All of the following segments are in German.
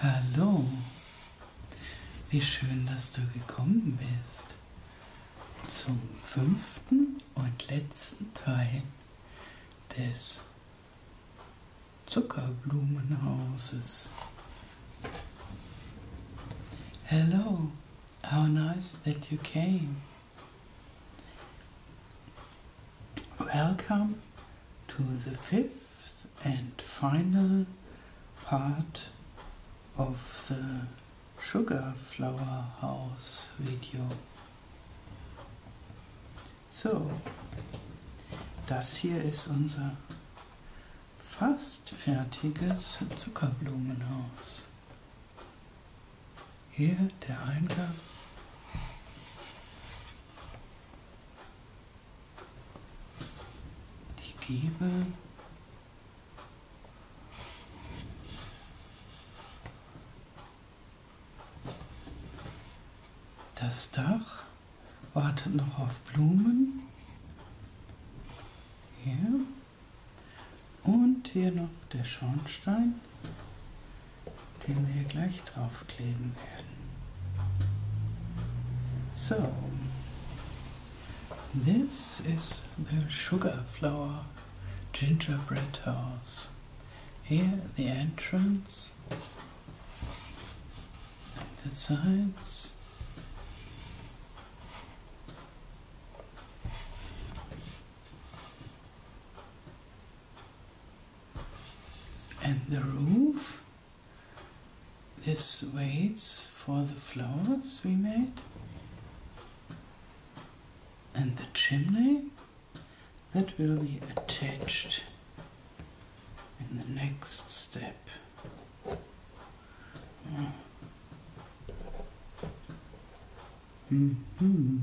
Hallo, wie schön, dass du gekommen bist zum fünften und letzten Teil des Zuckerblumenhauses. Hello, how nice that you came. Welcome to the fifth and final part of the Sugar Flower House video. So, das hier ist unser fast fertiges Zuckerblumenhaus. Hier der Eingang die Giebel. Das Dach wartet noch auf Blumen. Hier. Und hier noch der Schornstein den wir gleich draufkleben werden. So, this is the sugar flower gingerbread house. Here the entrance, the sides, and the roof this waits for the floors we made and the chimney that will be attached in the next step hmm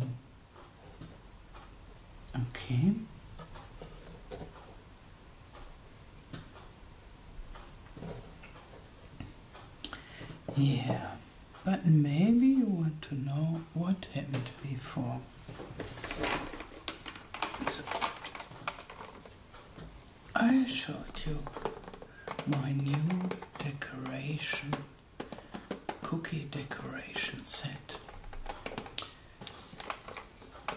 Okay. Yeah, but maybe you want to know what happened before. I showed you my new decoration, cookie decoration set.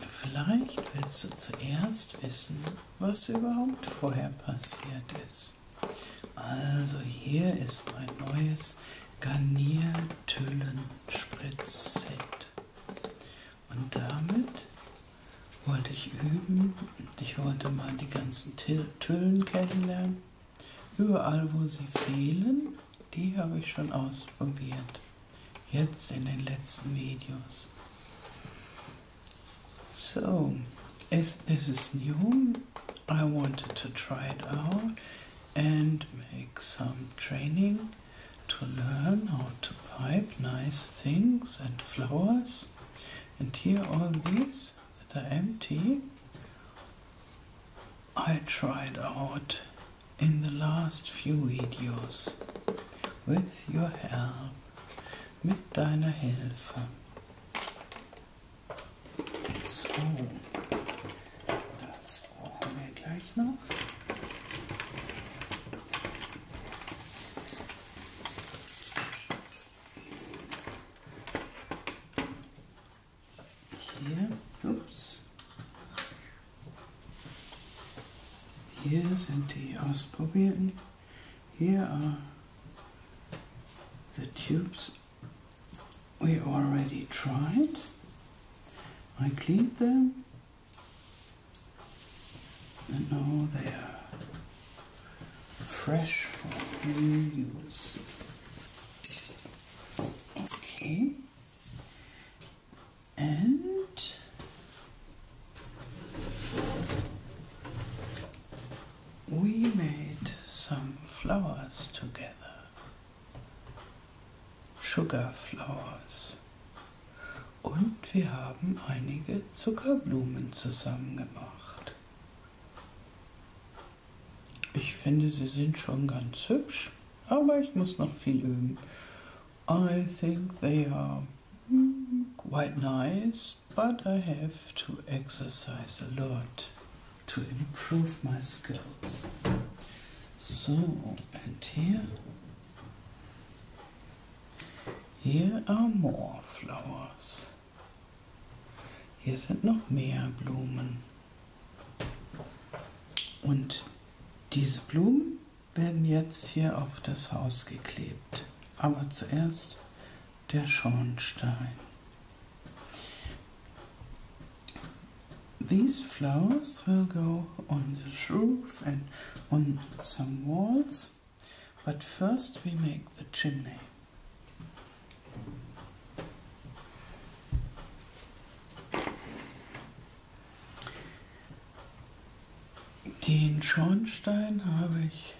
Vielleicht willst du zuerst wissen, was überhaupt vorher passiert ist. Also hier ist mein neues Garniertüllen-Spritzset. Und damit wollte ich üben. Ich wollte mal die ganzen Tüllen kennenlernen. Überall, wo sie fehlen, die habe ich schon ausprobiert. Jetzt in den letzten Videos. So, as this is new, I wanted to try it out and make some training to learn how to pipe nice things and flowers. And here all these that are empty, I tried out in the last few videos. With your help, mit deiner Hilfe. So, das brauchen wir gleich noch. Here, oops. Here's antiospobian. Here are the tubes we already tried. I cleaned them and now they are fresh for reuse. Okay. And we made some flowers together. Sugar flowers. Und wir haben einige Zuckerblumen zusammen gemacht. Ich finde, sie sind schon ganz hübsch, aber ich muss noch viel üben. I think they are mm, quite nice, but I have to exercise a lot to improve my skills. So, and here, here are more flowers. Hier sind noch mehr Blumen. Und diese Blumen werden jetzt hier auf das Haus geklebt. Aber zuerst der Schornstein. These flowers will go on the roof and on some walls, but first we make the chimney. Den Schornstein habe ich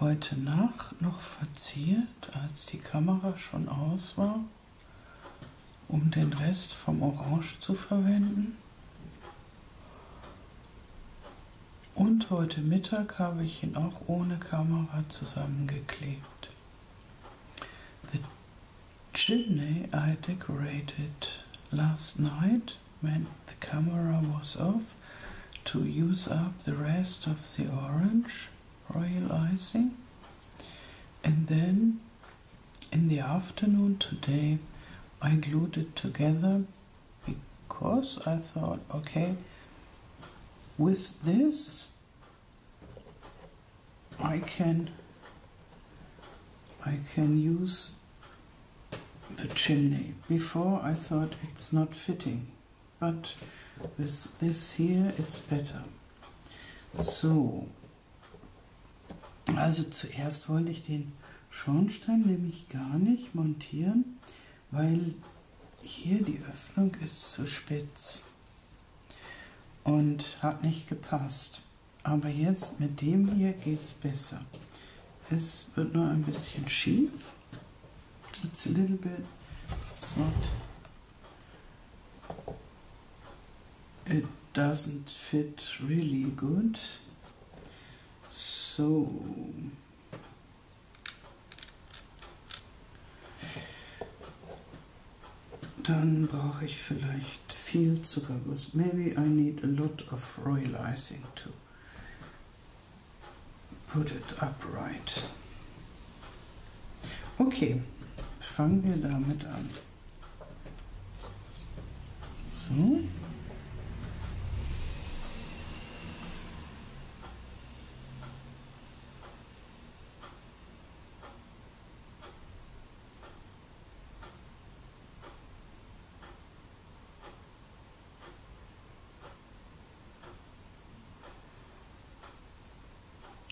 heute Nacht noch verziert, als die Kamera schon aus war, um den Rest vom Orange zu verwenden. Und heute Mittag habe ich ihn auch ohne Kamera zusammengeklebt. The chimney I decorated last night when the camera was off to use up the rest of the orange royal icing and then in the afternoon today I glued it together because I thought okay with this I can I can use the chimney. Before I thought it's not fitting, but with this here it's better. So, also zuerst wollte ich den Schornstein nämlich gar nicht montieren, weil hier die Öffnung ist zu spitz und hat nicht gepasst. Aber jetzt mit dem hier geht es besser. Es wird nur ein bisschen schief. It's a little bit, it's not, it doesn't fit really good. So, dann brauche ich vielleicht viel Zuckerguss. Maybe I need a lot of royal icing to put it upright. Okay, fangen wir damit an. So.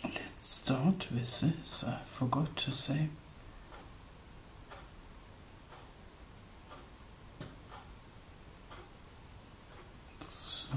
Let's start with this. I forgot to say. So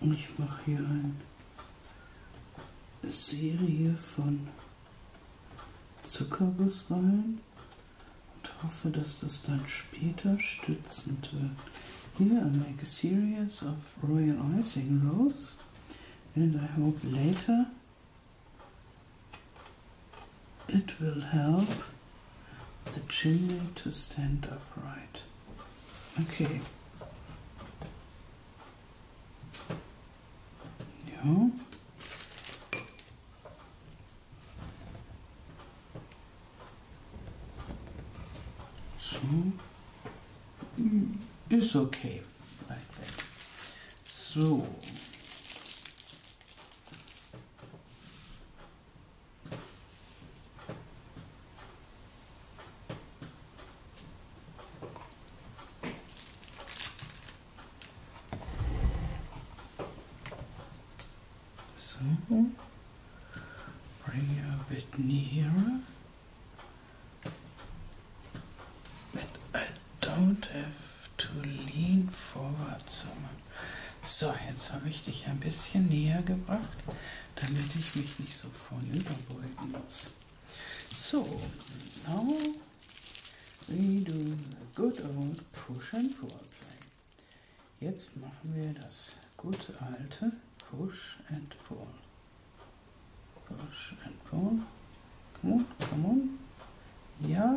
Ich mache hier eine Serie von Zuckerguss rein und hoffe, dass das dann später stützend wird. Here I make a series of royal icing rolls and I hope later it will help the chin to stand upright. Okay. No. So mm, it's okay like that. So so bring you a bit nearer. But I don't have to lean forward so much. So, jetzt habe ich dich ein bisschen näher gebracht, damit ich mich nicht so vornüberbeugen muss. So, now we do the good old push and pull play. Jetzt machen wir das gute alte push and pull. Push and pull. Come on, come on. Ja.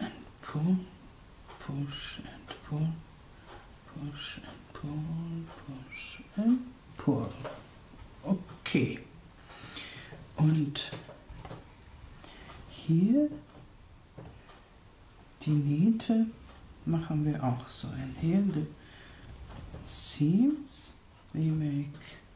and pull, push and pull, push and pull, push and pull. Okay. Und hier die Nähte machen wir auch so. Inhale the seams, we make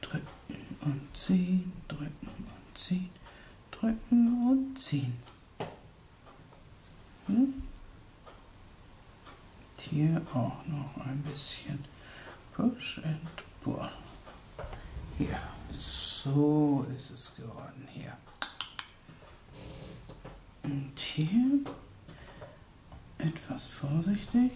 drücken und ziehen, drücken und ziehen, drücken und ziehen. Hm? Hier auch noch ein bisschen Push and Pull. Hier, so ist es geworden hier. Und hier etwas vorsichtig.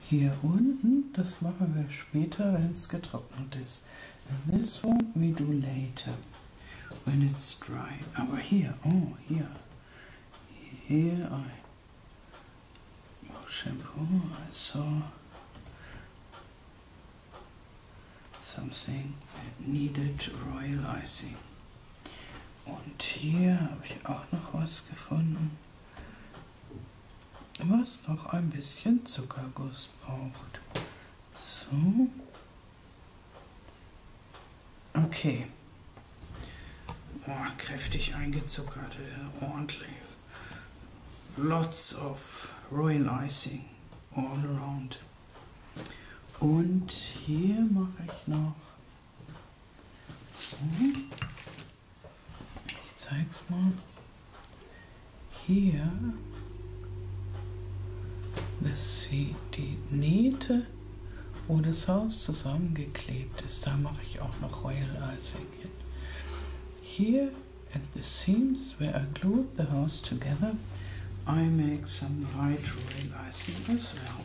Here unten, das machen wir später, wenn es getrocknet ist. And this one we do later, when it's dry. Aber here, oh, here. Here I, oh, shampoo, I saw something that needed royal icing. Und hier habe ich auch noch was gefunden was noch ein bisschen Zuckerguss braucht. So. Okay. Oh, kräftig eingezuckert, ordentlich. Lots of Royal Icing all around. Und hier mache ich noch so. Ich zeig's mal. Hier, dass sie die Nähte, wo das Haus zusammengeklebt ist, da mache ich auch noch Royal Icing hin. Here at the seams where I glued the house together, I make some white royal icing as well.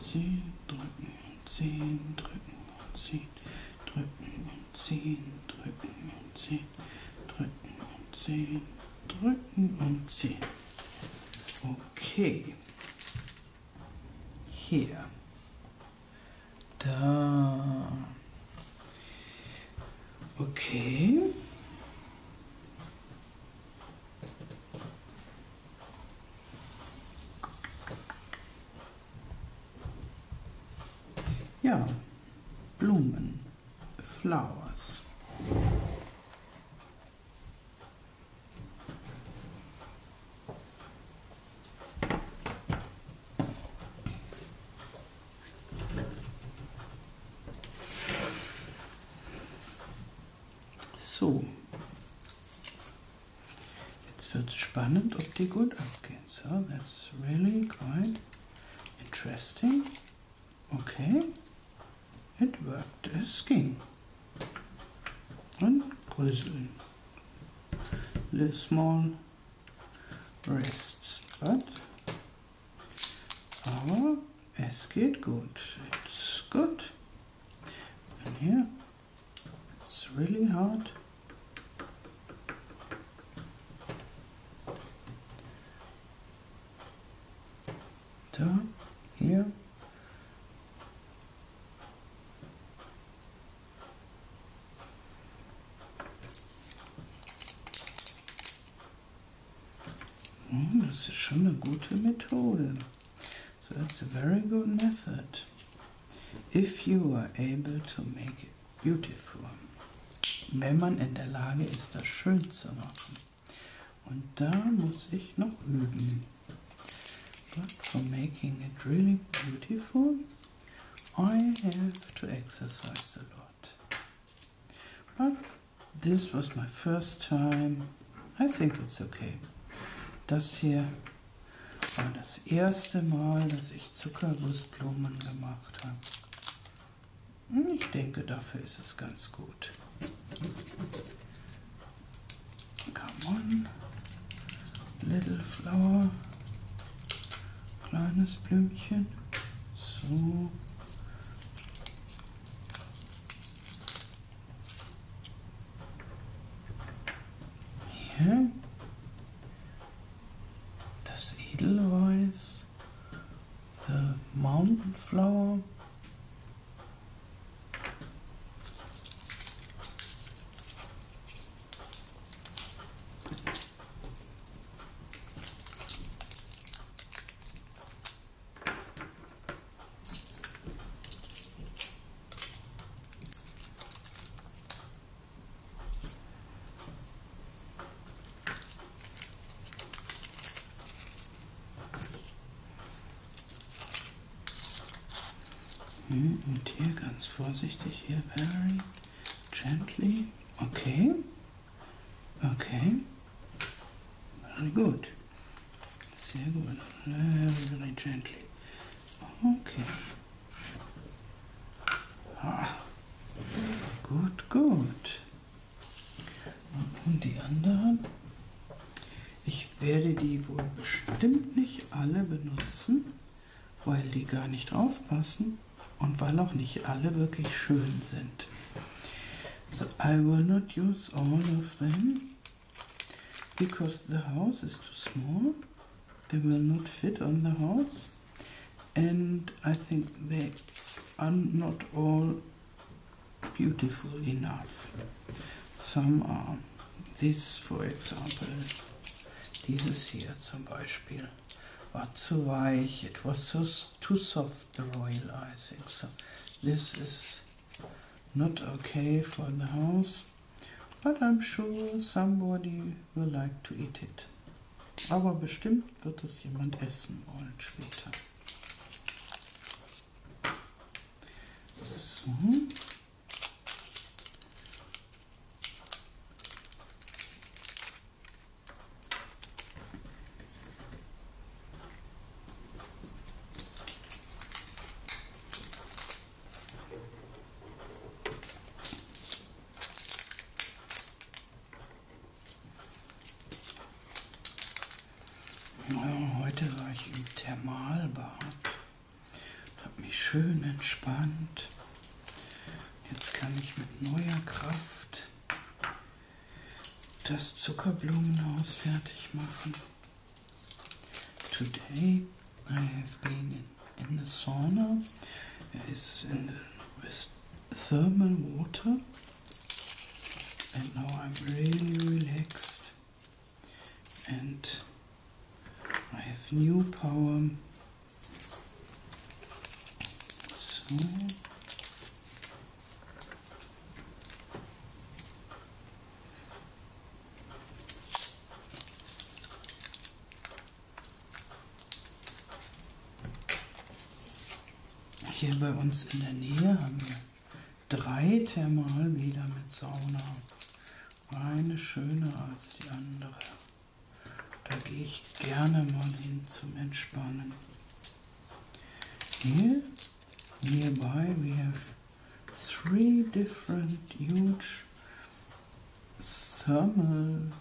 10 drücken, 10 drücken, 10 drücken, 10 drücken, 10 drücken, 10 drücken und 10. Okay. Hier. Da. Okay. Ja, Blumen, Flowers. So. Jetzt wird es spannend, ob die gut abgehen. So, that's really quite interesting. Okay. It worked. Es ging. Und bröseln. The small rests. But aber es geht gut. It's good. And here, it's really hard. Da, hier. Hm, das ist schon eine gute Methode. So that's a very good method if you are able to make it beautiful. Wenn man in der Lage ist, das schön zu machen. Und da muss ich noch üben. But for making it really beautiful, I have to exercise a lot. But this was my first time I think it's okay. Das hier war das erste Mal, dass ich Zuckergussblumen gemacht habe. Ich denke, dafür ist es ganz gut. Come on, little flower, kleines Blümchen, so. Hier. Das Edelweiß. The mountain flower. Hm, und hier ganz vorsichtig, hier very gently. Okay. Okay. Very good. Sehr gut. Very äh, gently. Okay. Ah. Gut, gut. Und die anderen? Ich werde die wohl bestimmt nicht alle benutzen, weil die gar nicht draufpassen und weil auch nicht alle wirklich schön sind. So, I will not use all of them. because the house is too small they will not fit on the house and I think they are not all beautiful enough some are this for example This is here, zum Beispiel war zu weich it was too soft the royal I think so this is Not okay for the house, but I'm sure somebody will like to eat it. Aber bestimmt wird es jemand essen wollen später. So. Heute war ich im Thermalbad, habe mich schön entspannt. Jetzt kann ich mit neuer Kraft das Zuckerblumenhaus fertig machen. Today I have been in, the sauna. It's in the, thermal water, and now I'm really relaxed. And I have new power. So Hier bei uns in der Nähe haben wir drei Thermalbäder mit Sauna. Eine schöner als die andere. Da gehe ich gerne mal hin zum Entspannen. Here, nearby we have three different huge thermal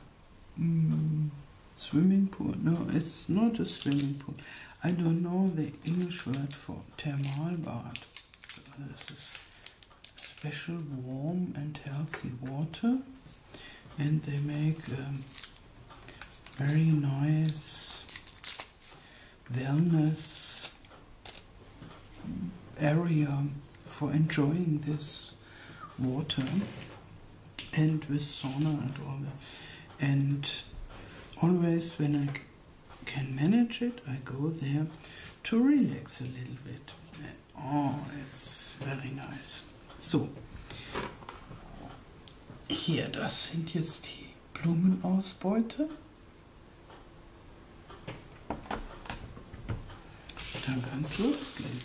mm, swimming pool. No, it's not a swimming pool. I don't know the English word for thermal bath. Uh, this is special warm and healthy water. And they make um, very nice wellness area for enjoying this water and with sauna and all that. And always when I can manage it, I go there to relax a little bit. And, oh, it's very nice. So, hier, das sind jetzt die Blumenausbeute. Dann kann es losgehen.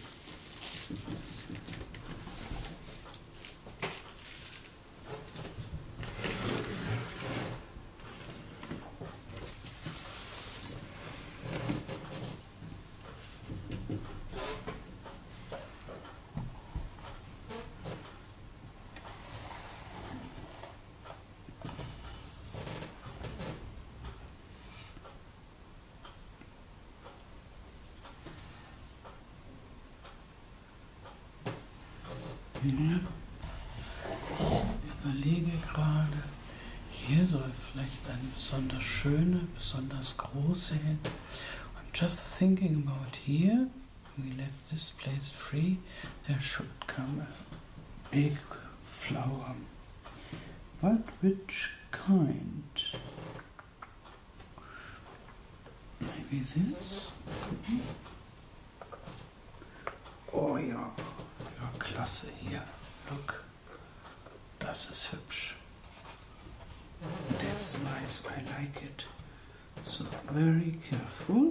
Ja. Ich überlege gerade, hier soll vielleicht eine besonders schöne, besonders große hin. I'm just thinking about here. we left this place free there should come a big flower but which kind maybe this mm-hmm. oh ja ja klasse hier look das ist hübsch that's nice I like it so very careful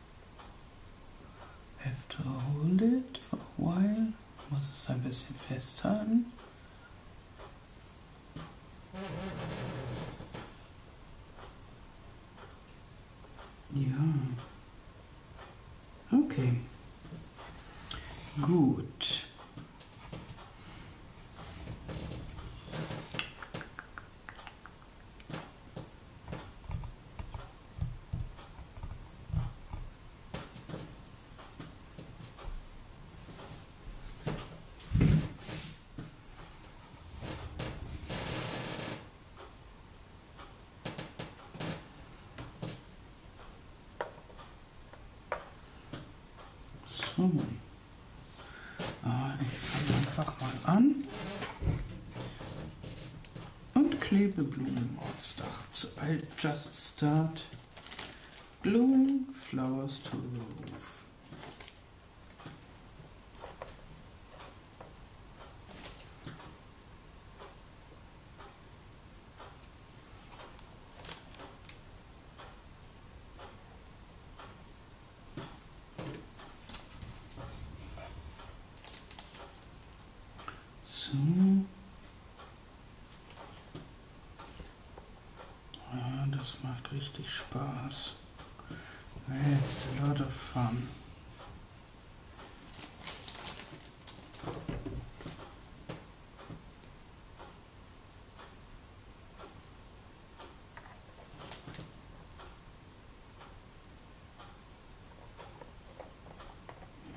have to hold it for a while. Muss es ein bisschen festhalten. Ja. Okay. Good. So. Ah, ich fange einfach mal an und Klebeblumen aufs Dach. So I just start blowing flowers to the roof. So. Ja, das macht richtig Spaß. It's a lot of fun.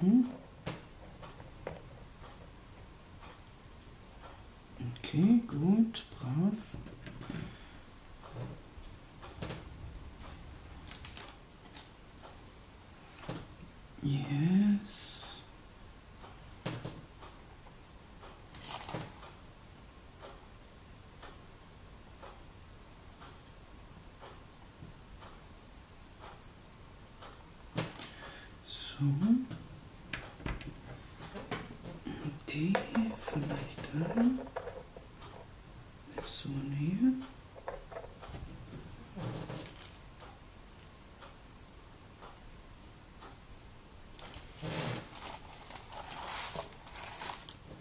Mhm. Okay, gut, brav. Yes. So. Die vielleicht dahin. So hier.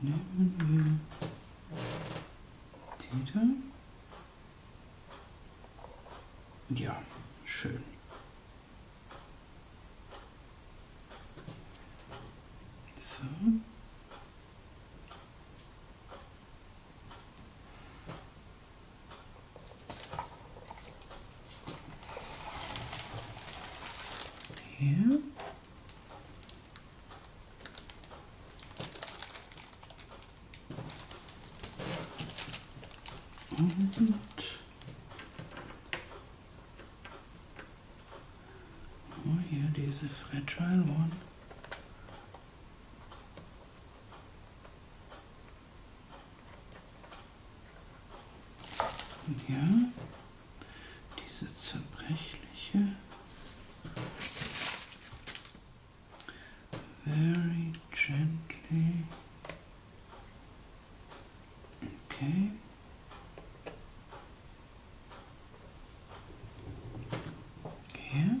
Nehmen wir Titel. Ja, schön. So. Hier. Und oh, hier diese Fragile One. Und hier diese zerbrechliche. Very gently. Okay. Hier.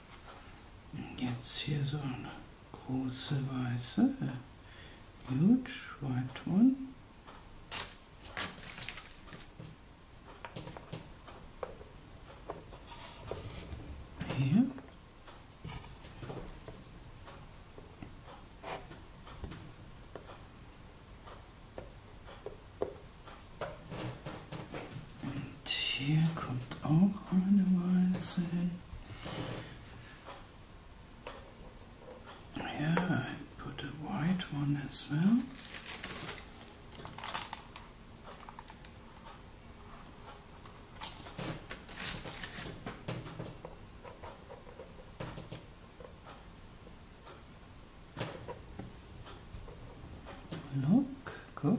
Jetzt hier so eine große weiße. Äh, huge white one. Hier. Und hier kommt auch eine Walze hin. Yeah, I put a white one as well. Look, cook.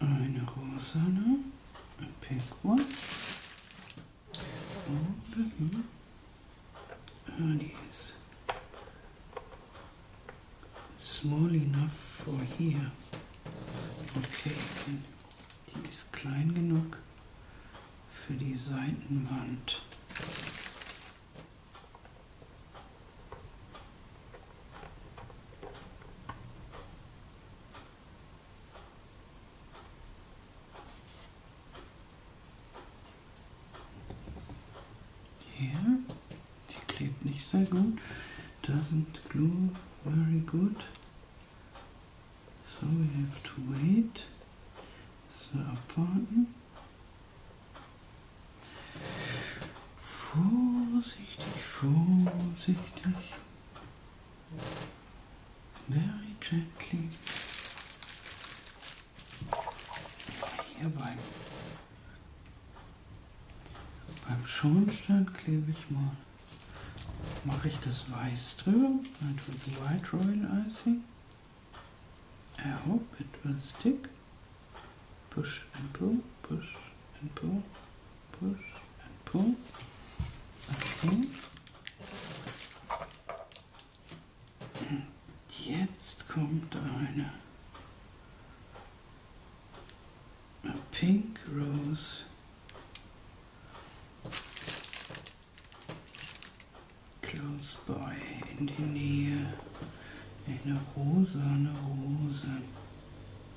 eine rosane, ein pink one, und hm. ah, die ist small enough for here. Okay, die ist klein genug für die Seitenwand. Hier, die klebt nicht sehr gut. Doesn't glue very good. So we have to wait. So abwarten. Vorsichtig, vorsichtig. Very gently. Hierbei. Beim Schornstein klebe ich mal. Mache ich das Weiß drüber. Dann tue ich White Royal Icing. I hope it will stick. Push and pull, push and pull. Push, and pull, and pull. Und jetzt kommt eine A Pink Rose. Close by in die Nähe. Eine rosa, eine rosa.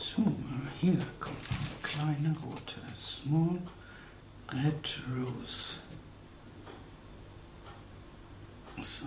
So, hier kommt eine kleine rote. Small Red Rose. So.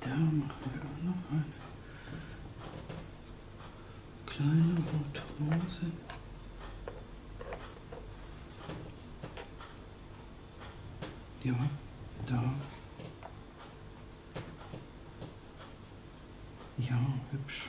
Da machen wir auch noch eine kleine Rotrose. Ja, da. Ja, hübsch.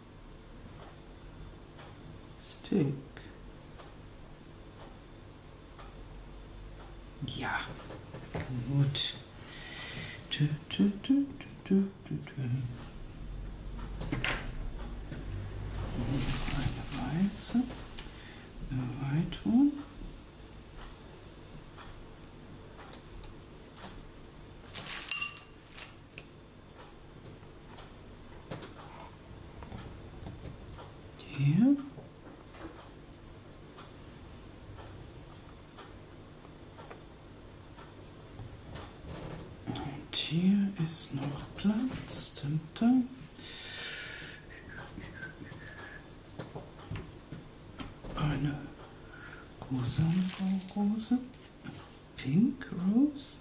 Stick. Yeah. gut. Du, du, du, du, du, du. Eine weiße, eine Weitung. Hier. Und hier ist noch Platz. Dun, dun. Eine rosa Rose, Pink Rose.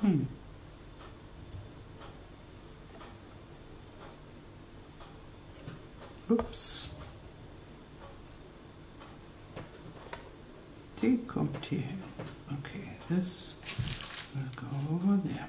Hmm. Ups. Die kommt hier hin. Okay, this will go over there.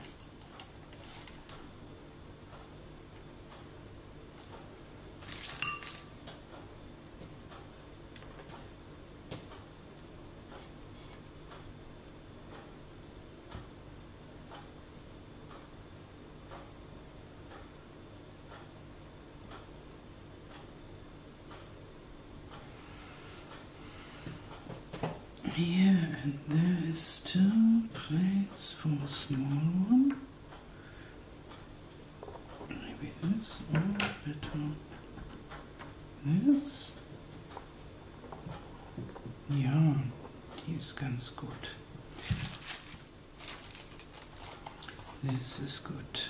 Here and there is still place for a small one. Maybe this or better. Ne, das, ja, die ist ganz gut. Das ist gut.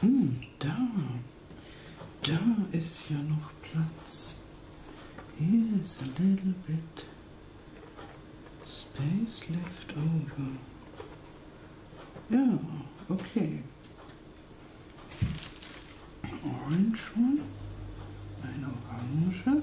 Hm, da. Da ist ja noch Platz. Here is a little bit space left over. Ja, okay. Orange one. Eine Orange.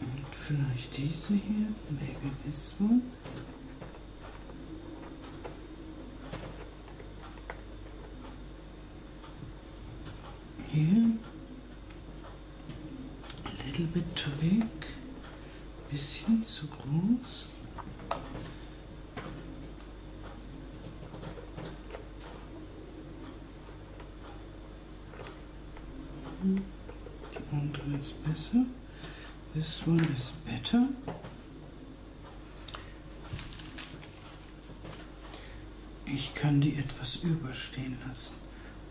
Und vielleicht diese hier, maybe this one. Here, a little bit too big, bisschen zu groß. That one is better. This one is better.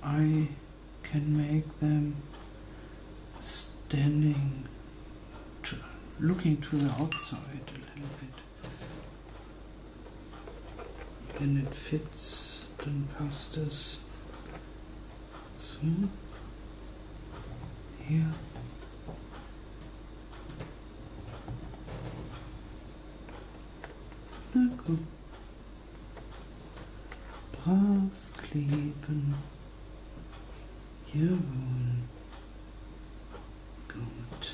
I can make them standing, looking to the outside a little bit then it fits then past us so here Na komm. Brav kleben. Jawohl. Gut.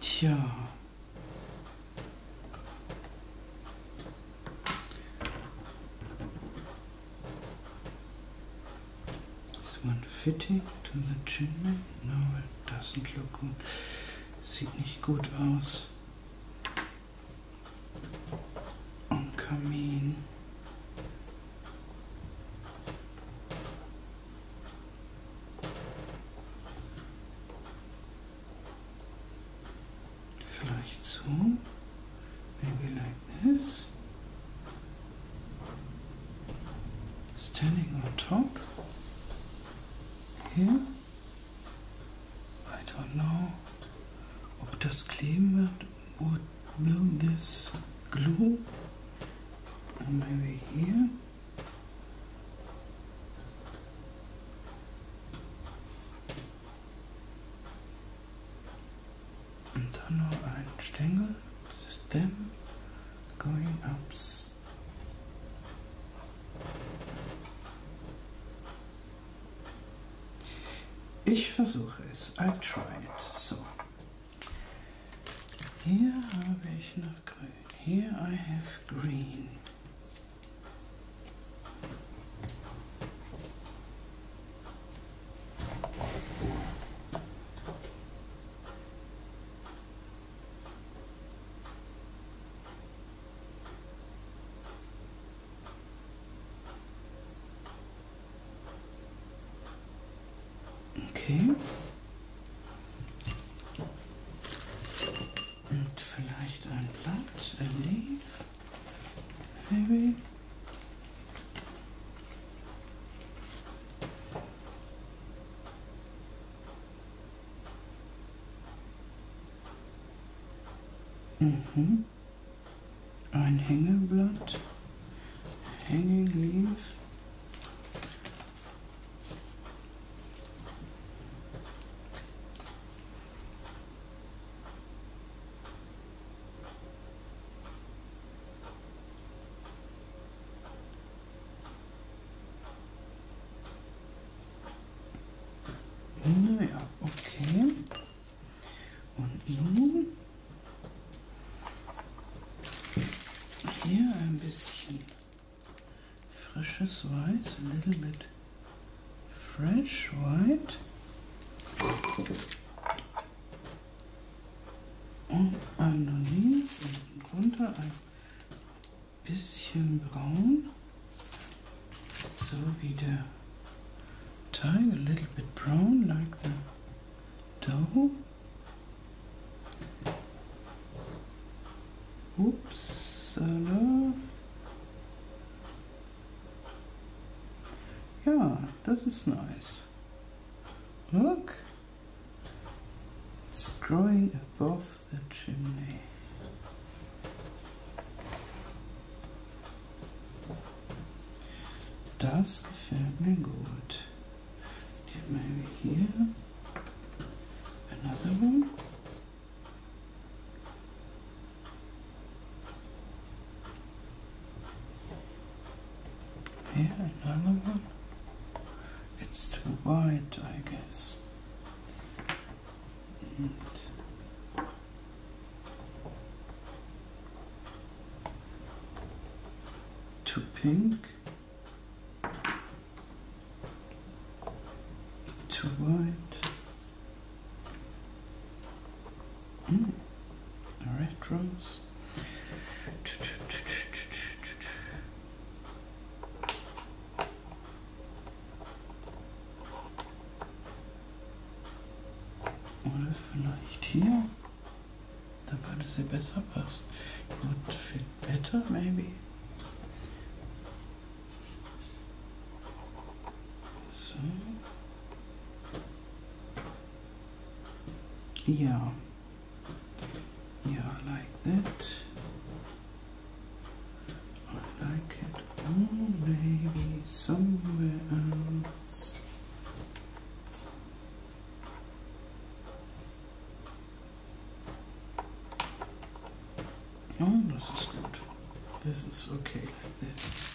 Tja. Is one fitting to the chimney? No, it doesn't look good. Sieht nicht gut aus. Und Kamin. Vielleicht so. Maybe like this. Standing on top. Here. I don't know, ob das kleben wird what will this glue maybe here und dann noch ein Stängelsystem going ups ich versuche es. I try it. So. Hier habe ich noch grün. Here I have green. Okay. Und vielleicht ein Blatt, ein Leaf, maybe. Mhm ein Hängeblatt, Hängeglief. Naja, hm, okay. Und nun hier ein bisschen frisches Weiß, a little bit fresh white. Und underneath, unten drunter ein bisschen braun. So wieder tying a little bit brown like the dough. Oops, hello. Yeah, this is nice. Look, it's growing above the chimney. Das gefällt mir gut. Maybe here. Another one. Here, another one. It's too wide, I guess to pink, to white. Mm. rose. Oder vielleicht hier? Da würde sie besser passen. Would fit better, maybe? So. Yeah. Yeah, like that. I like it. Oh, maybe somewhere else. No, this is good. This is okay like this.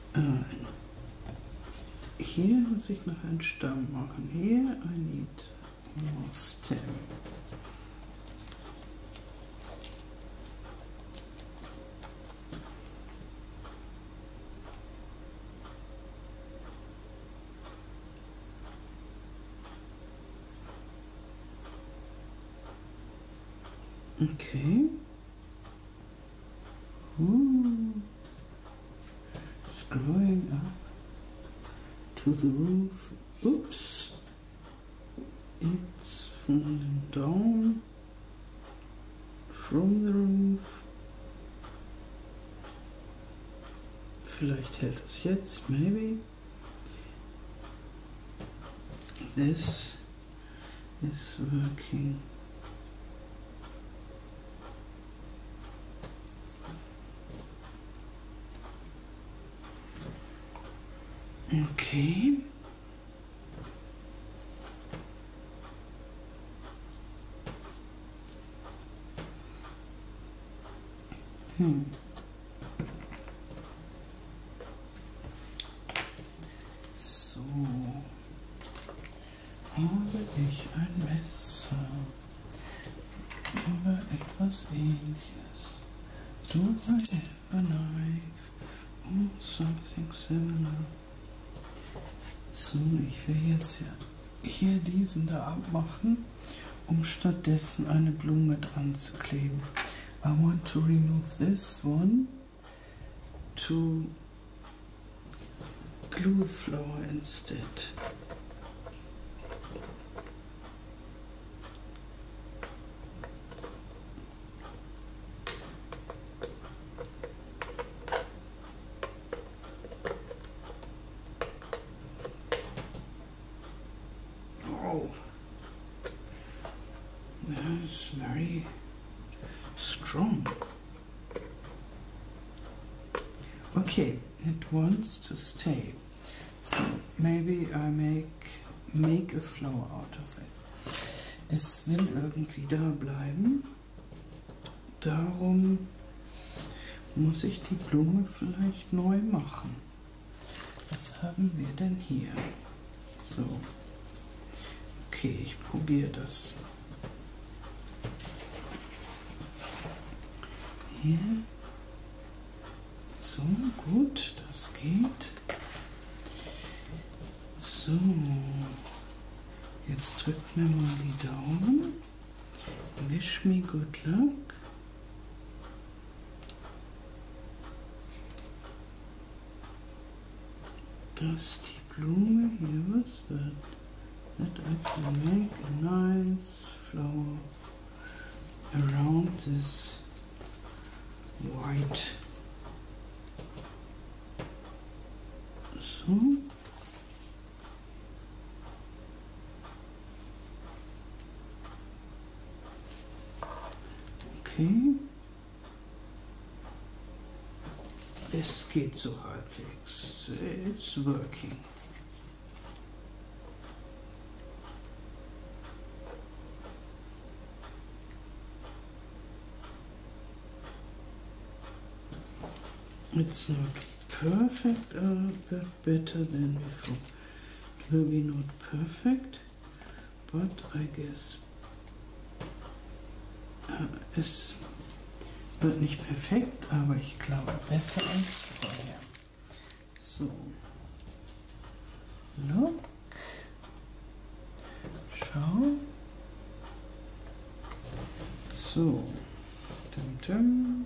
Äh, hier muss ich noch einen Stamm machen. Hier, I need more stem. Okay. Ooh. Screwing up to the roof. Oops. It's falling down from the roof. Vielleicht hält es jetzt, maybe. It's working. Okay. Hmm. So habe ich ein Messer oder etwas ähnliches. Do I have a knife or something similar? So, ich will jetzt hier, hier diesen da abmachen, um stattdessen eine Blume dran zu kleben. I want to remove this one. to glue flower instead. Oh, that's very strong. Okay, it wants to stay. So maybe I make, make a flower out of it. Es will irgendwie da bleiben. Darum muss ich die Blume vielleicht neu machen. Was haben wir denn hier? So. Okay, ich probiere das. Hier. So, gut, das geht. So, jetzt drückt mir mal die Daumen. Wish me good luck. Das Blooming here but that I can make a nice flower around this white so okay Let's get to hotfix. It's working. It's not perfect, but better than before. Maybe not perfect, but I guess Äh, es wird nicht perfekt, aber ich glaube besser als vorher. So. Look. Schau. So. Dum -dum.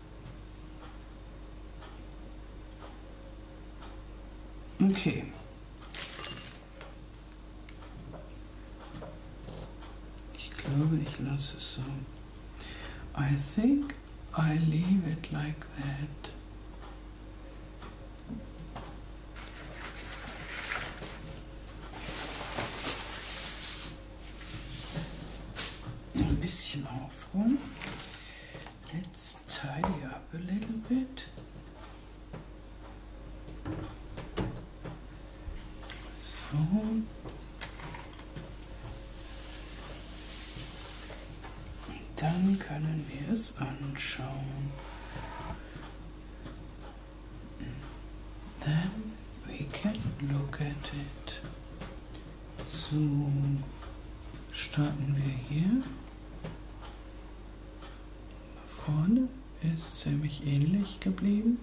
Okay. I think I leave it like that. ein bisschen aufräumen. Let's tidy up a little bit. So. Dann können wir es anschauen. Then we can look at it. So, starten wir hier. Vorne ist ziemlich ähnlich geblieben.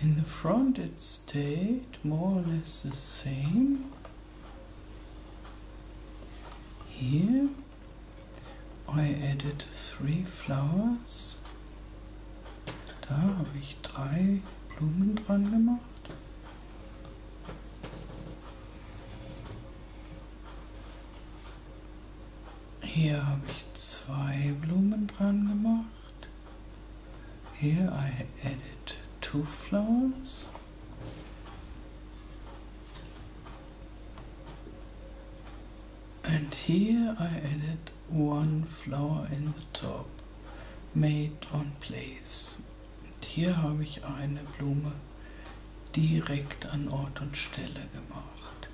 In the front it stayed more or less the same. Here I added three flowers. Da habe ich drei Blumen dran gemacht. Hier habe ich zwei Blumen dran gemacht. Here I added two flowers. And here I added one flower in the top. Made on Place. Und hier habe ich eine Blume direkt an Ort und Stelle gemacht.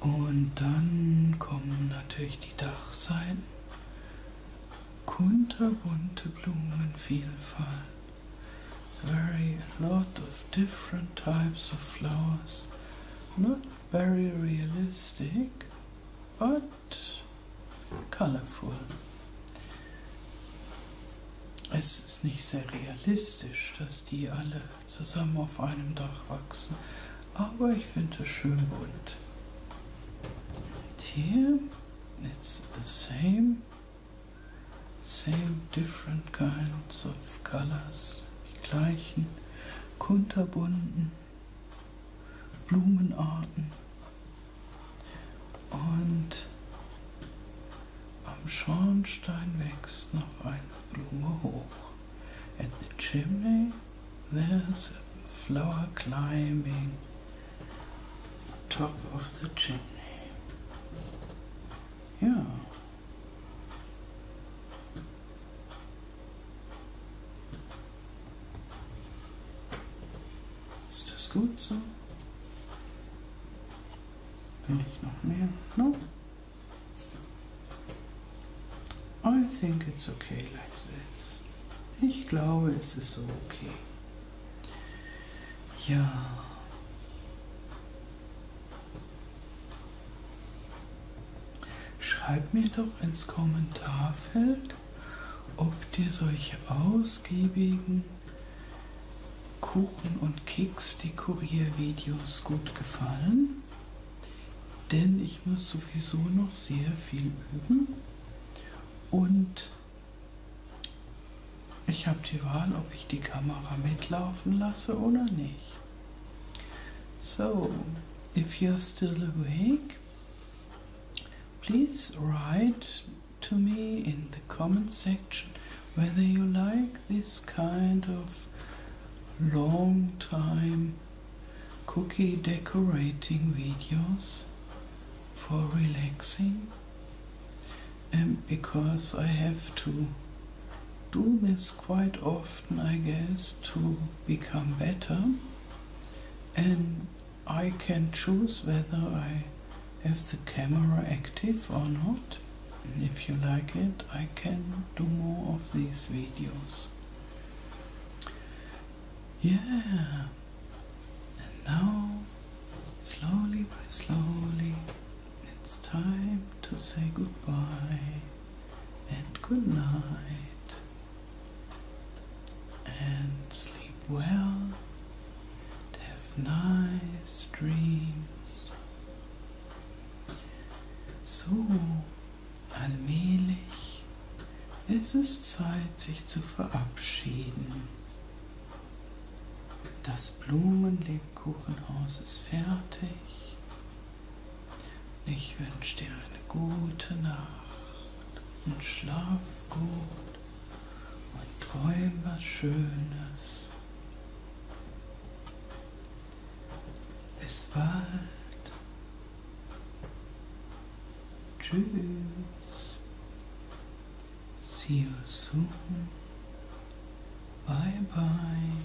Und dann kommen natürlich die Dachseiten. Kunterbunte Blumenvielfalt. Very lot of different types of flowers. Not very realistic but colorful. Es ist nicht sehr realistisch, dass die alle zusammen auf einem Dach wachsen, aber ich finde es schön bunt. And here it's the same, same different kinds of colors, die gleichen kunterbunten Blumenarten. Und am Schornstein wächst noch eine Blume hoch. At the chimney there's a flower climbing top of the chimney. Ja. Ist das gut so? Will ich noch mehr? No? I think it's okay like this. Ich glaube, es ist so okay. Ja. Schreib mir doch ins Kommentarfeld, ob dir solche ausgiebigen Kuchen- und Keks-Dekoriervideos gut gefallen. Denn ich muss sowieso noch sehr viel üben. Und ich habe die Wahl, ob ich die Kamera mitlaufen lasse oder nicht. So, if you're still awake, please write to me in the comment section whether you like this kind of long time cookie decorating videos for relaxing and because I have to do this quite often, I guess, to become better. And I can choose whether I have the camera active or not. if you like it, I can do more of these videos. Yeah. And now, slowly but slowly, it's time to say goodbye and goodnight. and sleep well and have nice dreams. So, allmählich ist es Zeit, sich zu verabschieden. Das Blumenlebkuchenhaus ist fertig. Ich wünsche dir eine gute Nacht und schlaf gut und träum was Schönes. Bis bald. Tschüss. See you soon. Bye bye.